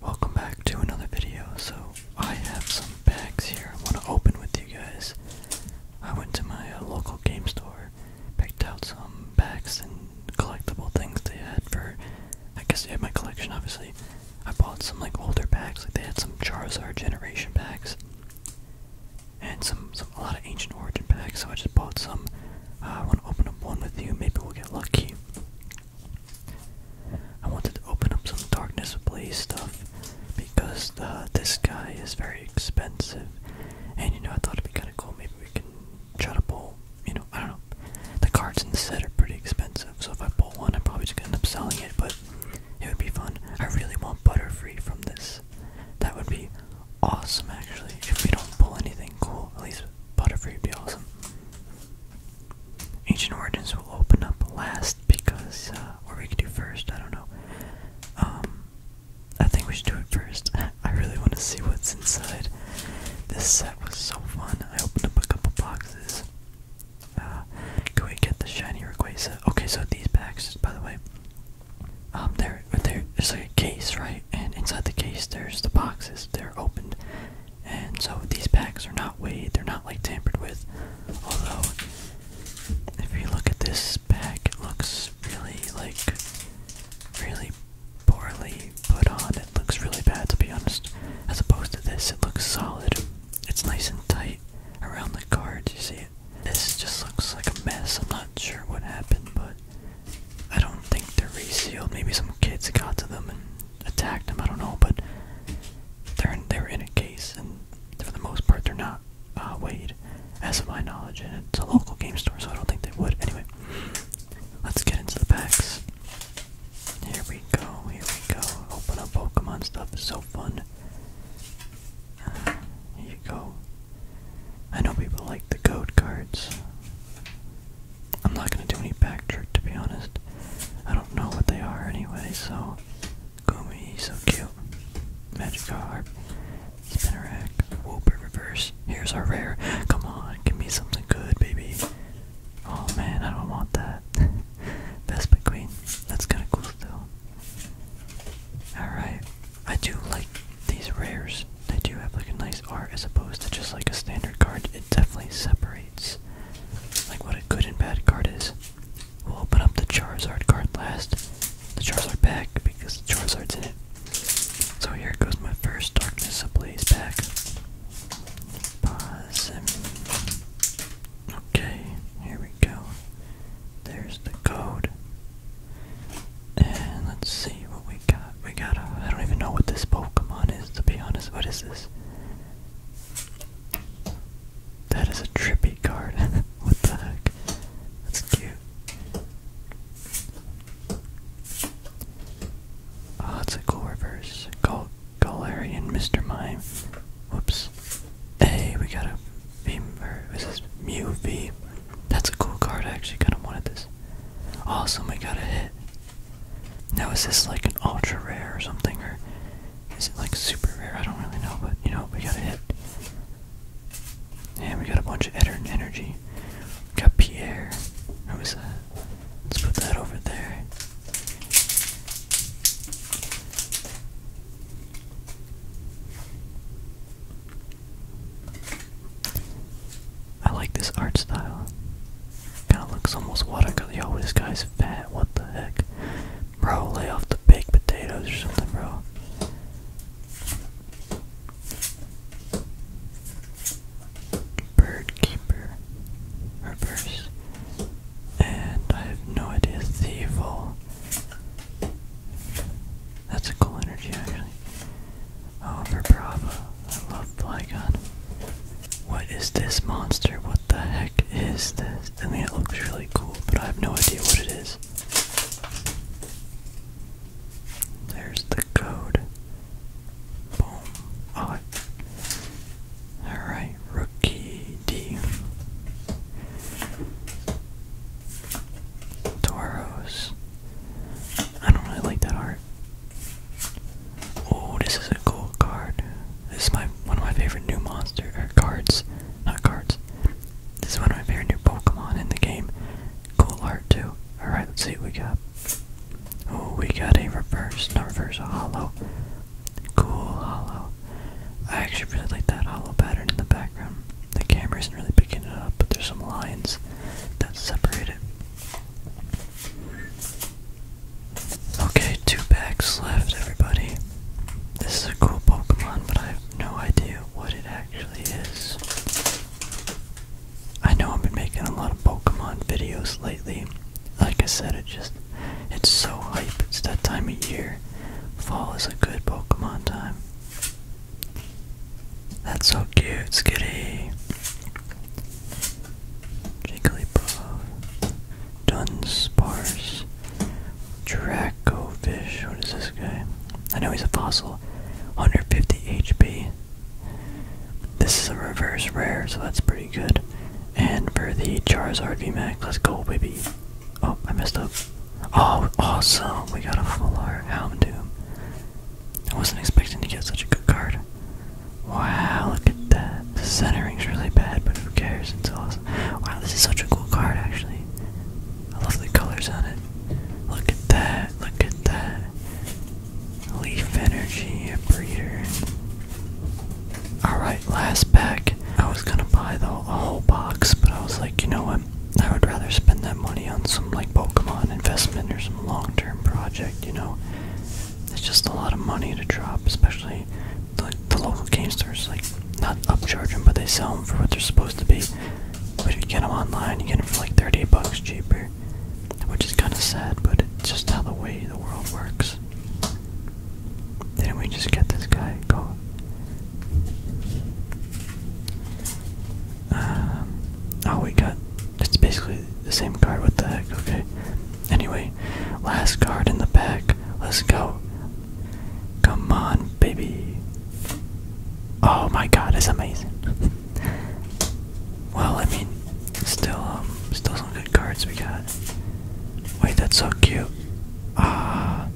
Welcome back to another video. So I have some bags here I want to open with you guys. I went to my uh, local game store, picked out some bags and collectible things they had for, I guess they had my collection obviously. I bought some like older bags, like they had some Charizard generation bags. And some, some a lot of ancient origin packs, so I just bought some. I want to open up one with you. Maybe we'll get lucky. I wanted to open up some Darkness Blaze stuff because uh, this guy is very expensive, and you know I thought it'd be kind of cool. Maybe we can try to pull. You know, I don't know. The cards in the set are pretty expensive, so if I pull one, I'm probably just gonna end up selling it. But it would be fun. I really want Butterfree from this. That would be awesome, actually. If we don't pull anything cool, at least Butterfree would be awesome. Ancient Origins will open up last because, uh, what we can do first, I don't know. Um, I think we should do it first. I really want to see what's inside. This set was so fun. I opened up a couple boxes. Uh, can we get the shiny Rayquaza? Okay, so these packs, by the way, um, there, there, there's a case, right? And inside the case, there's the boxes. They're opened, and so these packs are not weighed, they're not like tampered with. Although, if you look at this pack, it looks really like really poorly put on. It looks really bad to be honest. As opposed to this, it looks solid. It's nice and tight around the cards, you see it. This just looks like a mess. I'm not sure what happened, but I don't think they're resealed. Maybe some kids got to them and attacked them. I don't know, but they're in, they're in a case, and for the most part, they're not uh, weighed, as of my knowledge. And it's a local game store, so I don't think they would. Anyway, let's get into the packs. Here we go. Here we go. Open up Pokemon stuff is so fun. here you go. I know people like the code cards. I'm not gonna do any back trick to be honest. I don't know what they are anyway, so Gumi, so cute. Magikarp, Spinarak, Wooper reverse. Here's our rare. Come on, give me something good, baby. Oh man, I don't want that. Vespa Queen. That's kinda cool still. Alright. I do like these rares they do have like a nice art as opposed to just like a standard card. It definitely separates like what a good and bad card is. We'll open up the Charizard card last. The Charizard pack because the Charizard's in it. So here goes my first Darkness Ablaze pack. Pause and... Okay, here we go. There's the code. And let's see what we got, we got a, I don't even know what this Pokemon is, to be honest, what is this? That is a trippy card, what the heck? That's cute. Oh, that's a cool reverse. Gal Galarian Mr. Mime. Whoops. Hey, we got a Beam or is this Mew V? That's a cool card, I actually kinda wanted this. Awesome, we got a hit. Now is this like an ultra rare or something, or is it like super rare? I don't really know, but you know, we got a And we got a bunch of energy. We got Pierre. Who is that? Uh, let's put that over there. I like this art style. Kinda looks almost watercolor. Yo, this guy's fat. What the heck? Bro, lay off the baked potatoes or something, bro. Bird keeper. Reverse. And I have no idea. Thievel. That's a cool energy, actually. Oh, for I love gun. What is this monster? What the heck is this? I mean, it looks really cool, but I have no idea what it is. There's the code. Boom. Oh, Alright, Rookie D. Toros. I don't really like that art. Oh, this is a cool card. This is my one of my favorite new monster er, cards, not cards. This is one of my favorite new Pokemon in the game. Cool art too. All right, let's see what we got. Oh, we got a reverse, not reverse, a hollow. Cool hollow. I actually really like that hollow pattern in the background. The camera isn't really picking it up, but there's some lines that separate it. Okay, two packs left, everybody. This is a cool Pokemon, but I have no idea what it actually is. I know I've been making a lot of Pokemon videos lately. Like I said, it just it's so hype. It's that time of year. Fall is a good Pokemon time. That's so cute, Skitty. Jigglypuff. Dunsparce. Dracofish. What is this guy? I know he's a fossil. 150 HP. This is a reverse rare, so that's pretty good. And for the Charizard Max, let's go, baby. Oh, I messed up. Oh, awesome. We got a full art Houndoom. I wasn't expecting to get such a good card. Wow, look at that. The centering's really bad, but who cares? It's awesome. Wow, this is such a cool card, actually. I love the colors on it. Look at that, look at that. Leaf Energy, a breeder. Alright, last pack. I was gonna buy the whole box, but I was like, you know what? I would rather spend that money on some like Pokemon investment or something long-term project, you know. It's just a lot of money to drop, especially the, the local game stores, like, not upcharging, but they sell them for what they're supposed to be. But you get them online, you get them for like 30 bucks cheaper, which is kind of sad, but it's just how the way the world works. did we just get this guy? Go. Um, oh, we got it's basically the same card. What the heck? Okay. Anyway, last card in the pack. Let's go. Come on, baby. Oh my god, it's amazing. well, I mean, still, um, still some good cards we got. Wait, that's so cute. Ah.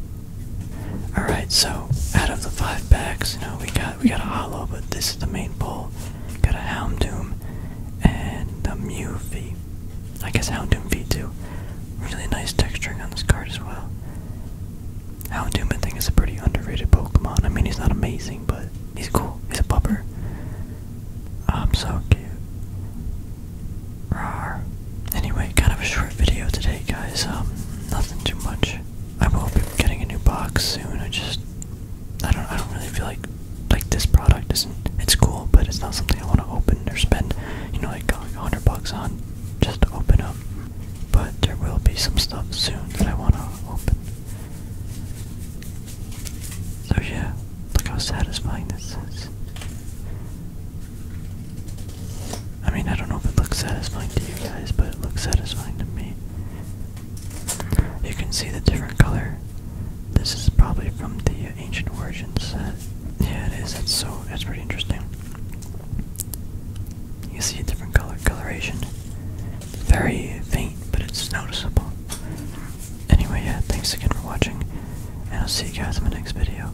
Alright, so out of the five packs, you know, we got got we got a hollow, but this is the main pull. Got a Houndoom and a Mew I guess Houndoom v too. Really nice texturing on this card as well. Houndoom I think is a pretty underrated Pokemon. I mean he's not amazing, but he's cool. He's a pupper. I'm so cute. Rawr. Anyway, kind of a short video today guys. Um nothing too much. I'm hoping getting a new box soon. I just I don't I don't really feel like like this product isn't it's cool, but it's not something I want to open or spend, you know, like a hundred bucks on just open up. But there will be some stuff soon that I want to open. So yeah, look how satisfying this is. I mean, I don't know if it looks satisfying to you guys, but it looks satisfying to me. You can see the different color. This is probably from the Ancient Origins Yeah, it is. That's so. That's pretty interesting. You see a different color coloration. very faint, but it's noticeable. Anyway, yeah. Thanks again for watching, and I'll see you guys in my next video.